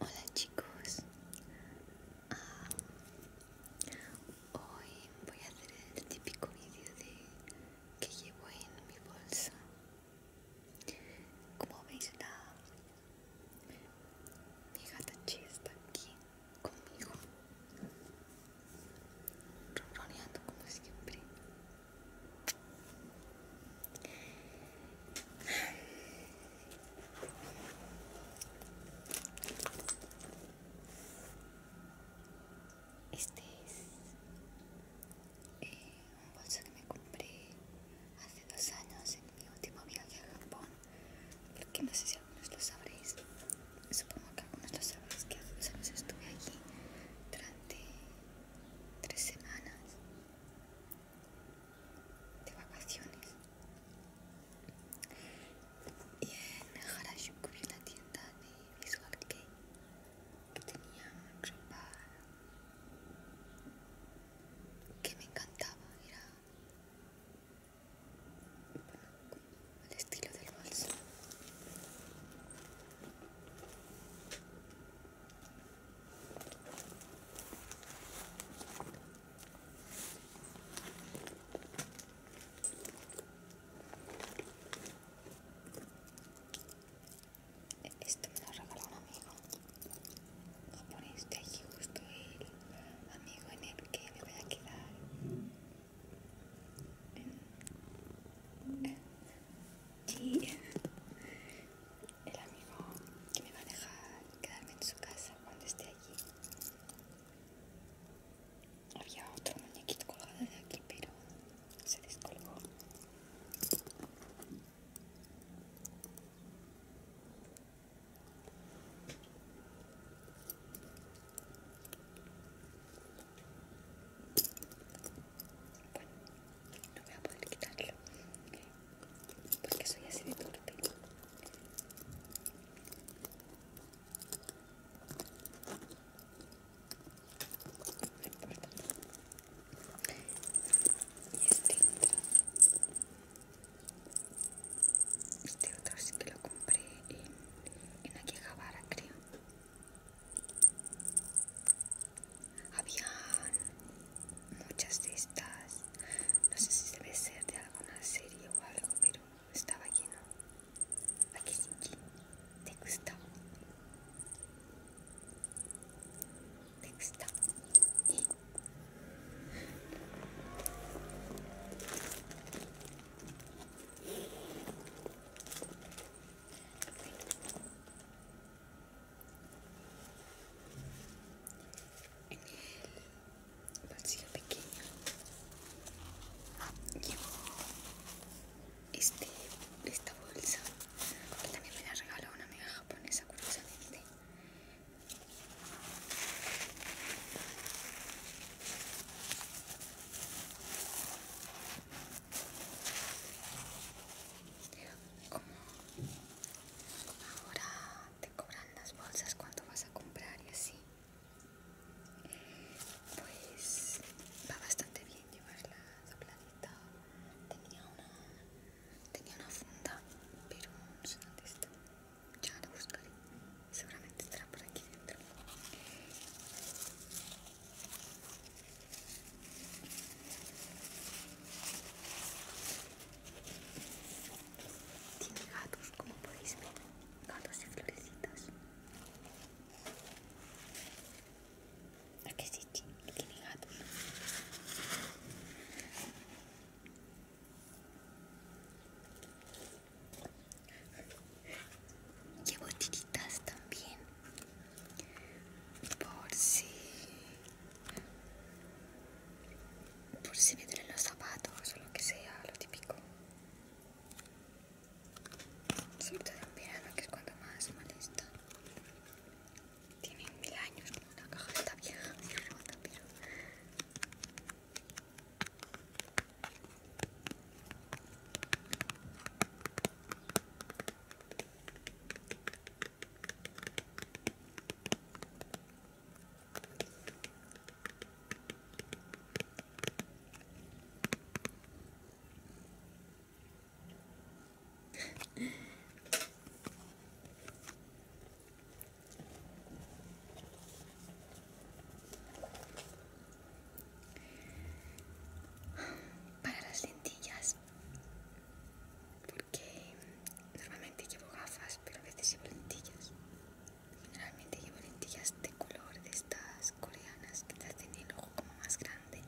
Hola chicos, ah, hoy voy a hacer el típico vídeo de que llevo en mi bolsa. Como veis la mi gata Chi está aquí conmigo, ronroneando como siempre. Este es eh, un bolso que me compré hace dos años en mi último viaje a Japón. Porque no sé si algunos lo sabréis. Supongo que algunos lo sabréis que hace dos años estuve allí durante tres semanas de vacaciones y en Harajuku vi la tienda de Visual que tenía ropa que me encantaba era el estilo del bolso esto me lo regaló un amigo. por este aquí justo el amigo en el que me voy a quedar. Sí el amigo que me va a dejar quedarme en su casa cuando esté allí. Había otro muñequito colgado de aquí, pero se descolgó. Bueno, no voy a poder quitarlo porque soy así de torpe. No importa. Y este otro, este otro sí que lo compré en, en Akihabara, creo habían muchas de estas no sé si debe ser de alguna serie o algo pero estaba lleno aquí te gusta te gusta en el bolsillo pequeño llevo este, esta bolsa que también me la regaló una amiga japonesa curiosamente ahora te cobran las bolsas cuando vas a comprar y así pues va bastante bien llevarla dobladita tenía una tenía una funda pero no sé dónde está ya la buscaré seguramente estará por aquí dentro tiene gatos, como podéis ver, gatos y florecitas. ¿A que sí, tiene gatos? Llevo tiritas también por si por si me duelen los zapatos o lo que sea, lo típico. Sobre todo en verano, que es cuando más mal está. Tiene mil años, la caja está vieja, muy rota, pero... Para las lentillas, que normalmente llevo gafas, pero a veces llevo lentillas. Generalmente llevo lentillas de color de estas coreanas que te hacen el ojo como más grande.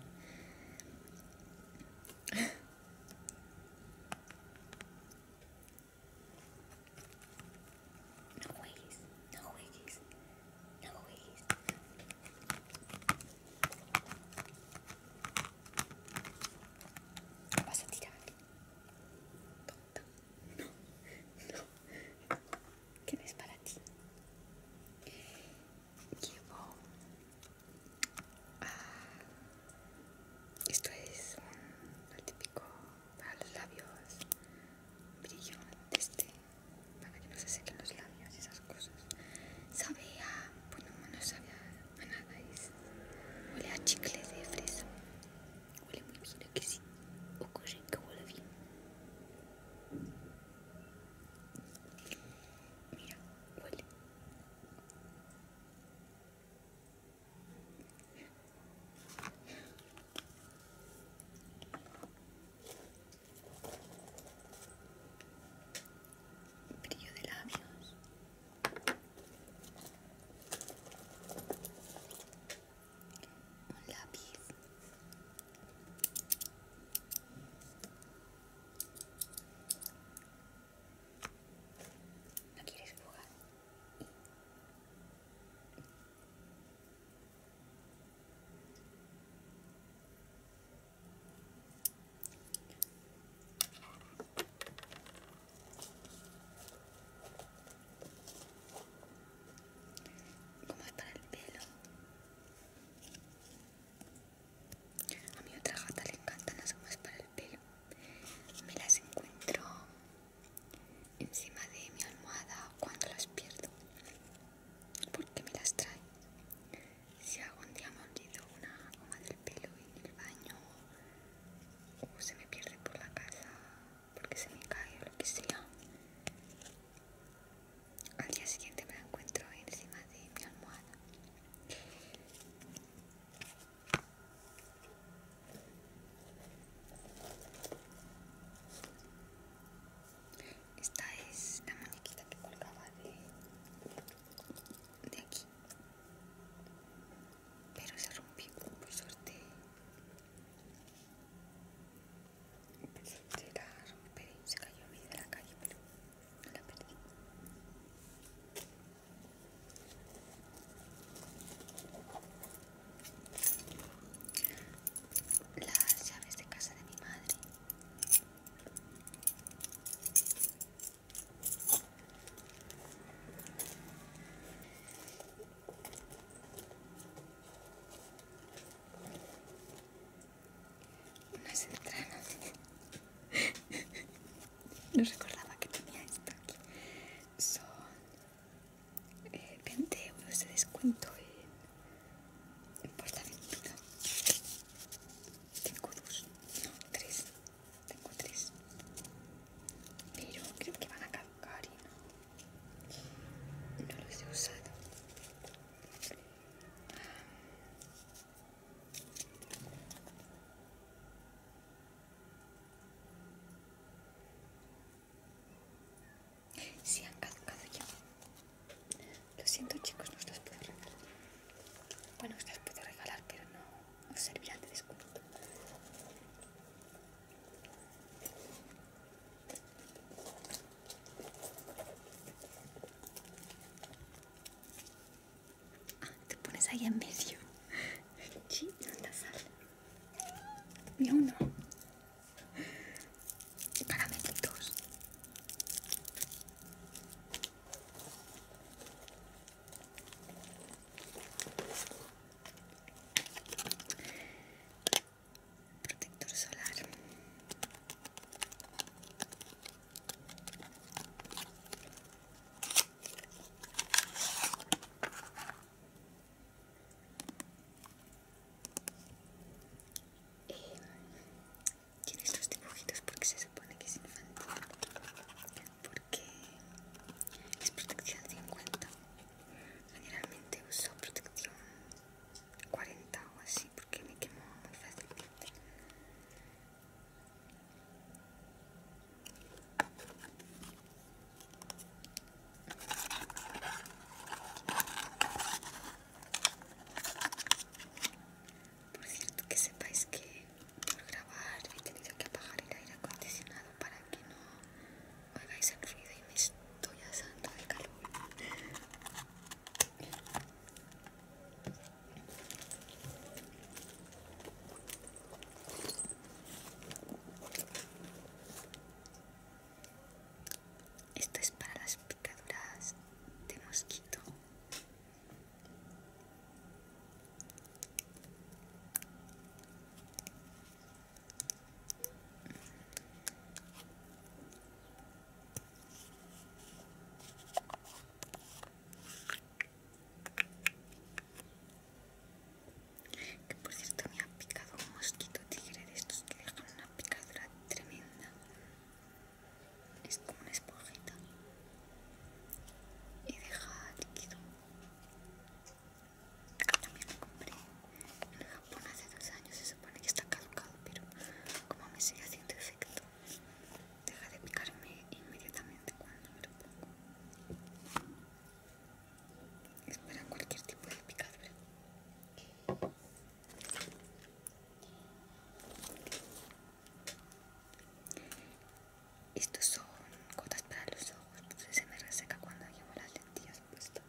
No juegues, no juegues, no juegues vas a tirar. Tonta. No, no. ¿Qué es para ti? Llevo. Ah, esto es un típico para los labios. Brillo este. Para que no se sequen los labios y esas cosas. Sabía, bueno, no sabía Ana, nada es. Huele a chicles de fresa. Huele muy bien, ¿a que sí? ¿O corren que huele bien? Mira, huele. Brillo de labios un lápiz no quieres jugar Cómo es para el pelo a mi otra gata le encantan las gomas para el pelo me las encuentro encima de mi almohada cuando las pierdo porque me las trae si algún día me una goma del pelo en el baño o se me pierde por la casa porque se me cae o lo que sea al día siguiente me la encuentro encima de mi almohada esta es la muñequita que colgaba de aquí pero se rompió por suerte por suerte la se cayó a mí de la calle pero la perdí las llaves de casa de mi madre unas entranas. No recordaba que tenía esto aquí. Son 20 eh, euros de descuento en, en Portaventura. 5 euros. No, 3. Tengo tres. Pero creo que van a caducar y no, no los he usado. Si sí, han caducado ya. Lo siento chicos, no os las puedo regalar. Bueno, os las puedo regalar, pero no servirá de descuento. Ah, te pones ahí en medio. Sí, anda, sal. Y uno. Caramelitos protector solar eh, tiene estos dibujitos porque se supone que es infantil que es protección 50 generalmente uso protección 40 o así porque me quemo muy fácilmente por cierto que sepáis que por grabar he tenido que apagar el aire acondicionado para que no oigáis el ruido y me estoy asando de calor esto es para las picaduras de mosquito que por cierto me ha picado un mosquito tigre de estos que dejan una picadura tremenda. Es como una esponjita y deja líquido también lo compré en Japón hace dos años se supone que está caducado pero como me sigue haciendo efecto deja de picarme inmediatamente cuando me lo pongo es para cualquier tipo de picadura estos son gotas para los ojos, entonces se me reseca cuando llevo las lentillas puestas.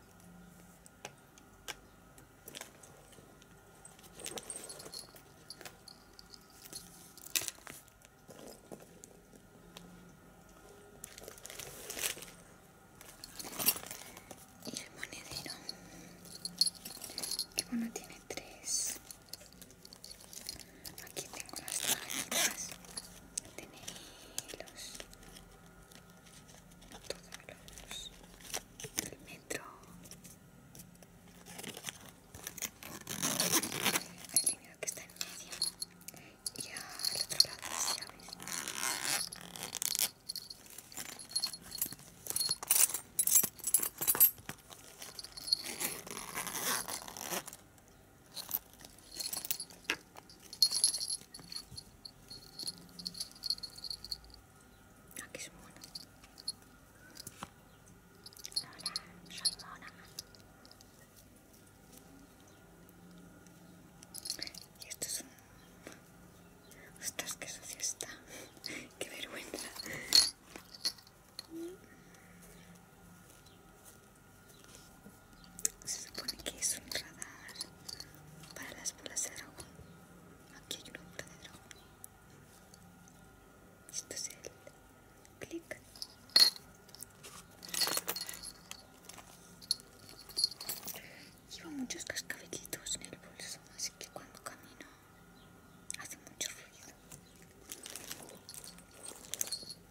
Y el monedero, que bueno tiene tres Aquí tengo las tarjetas. Tiene hilos. Todos los del metro. El dinero que está en medio. Y al otro lado Aquí ah, es bueno Hola, soy mona. Y esto es un... Ostras, qué sucia está. qué vergüenza. Se supone que es un radar para las bolas de dragón. Aquí hay una bolsa de dragón. Esto es el clic. Llevo muchos cascabelitos en el bolso, así que cuando camino hace mucho ruido.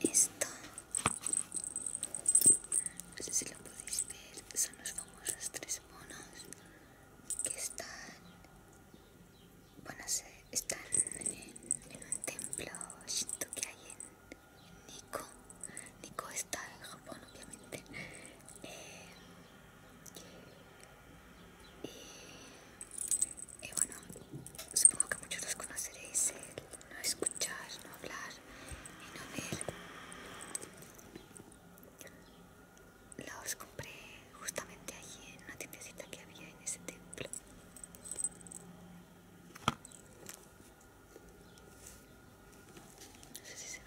Esto, no sé si lo podéis ver, son los famosos tres monos que están, bueno, sé, están en, un templo shinto que hay en, Nico Nikko. está en Japón, obviamente. Eh, y, bueno, supongo que muchos los conoceréis, no escuchar, no hablar y no ver. Los compré justamente allí en una tiendecita que había en ese templo. No sé si se ve.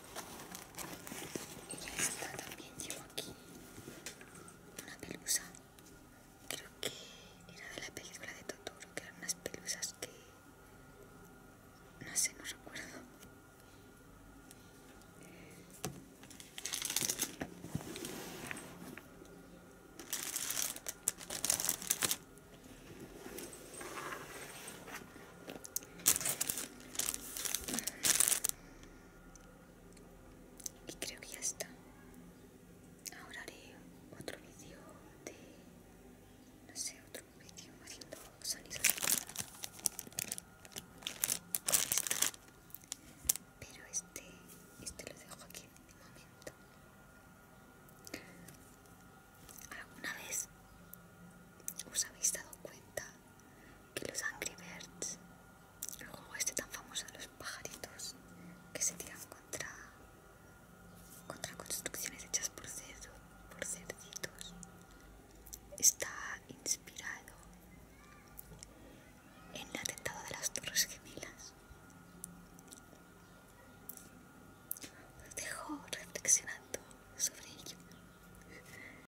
Y ya está, también llevo aquí una pelusa. Creo que era de la película de Totoro, que eran unas pelusas que... No sé, no recuerdo y creo que ya está ahora haré otro vídeo de no sé otro vídeo haciendo sonidos pero este este lo dejo aquí de momento alguna vez os habéis dado cuenta que los Angry Birds, el juego este tan famoso de los pajaritos que se tiran contra, contra construcciones hechas por, por cerditos, está inspirado en el atentado de las Torres Gemelas. Os dejo reflexionando sobre ello.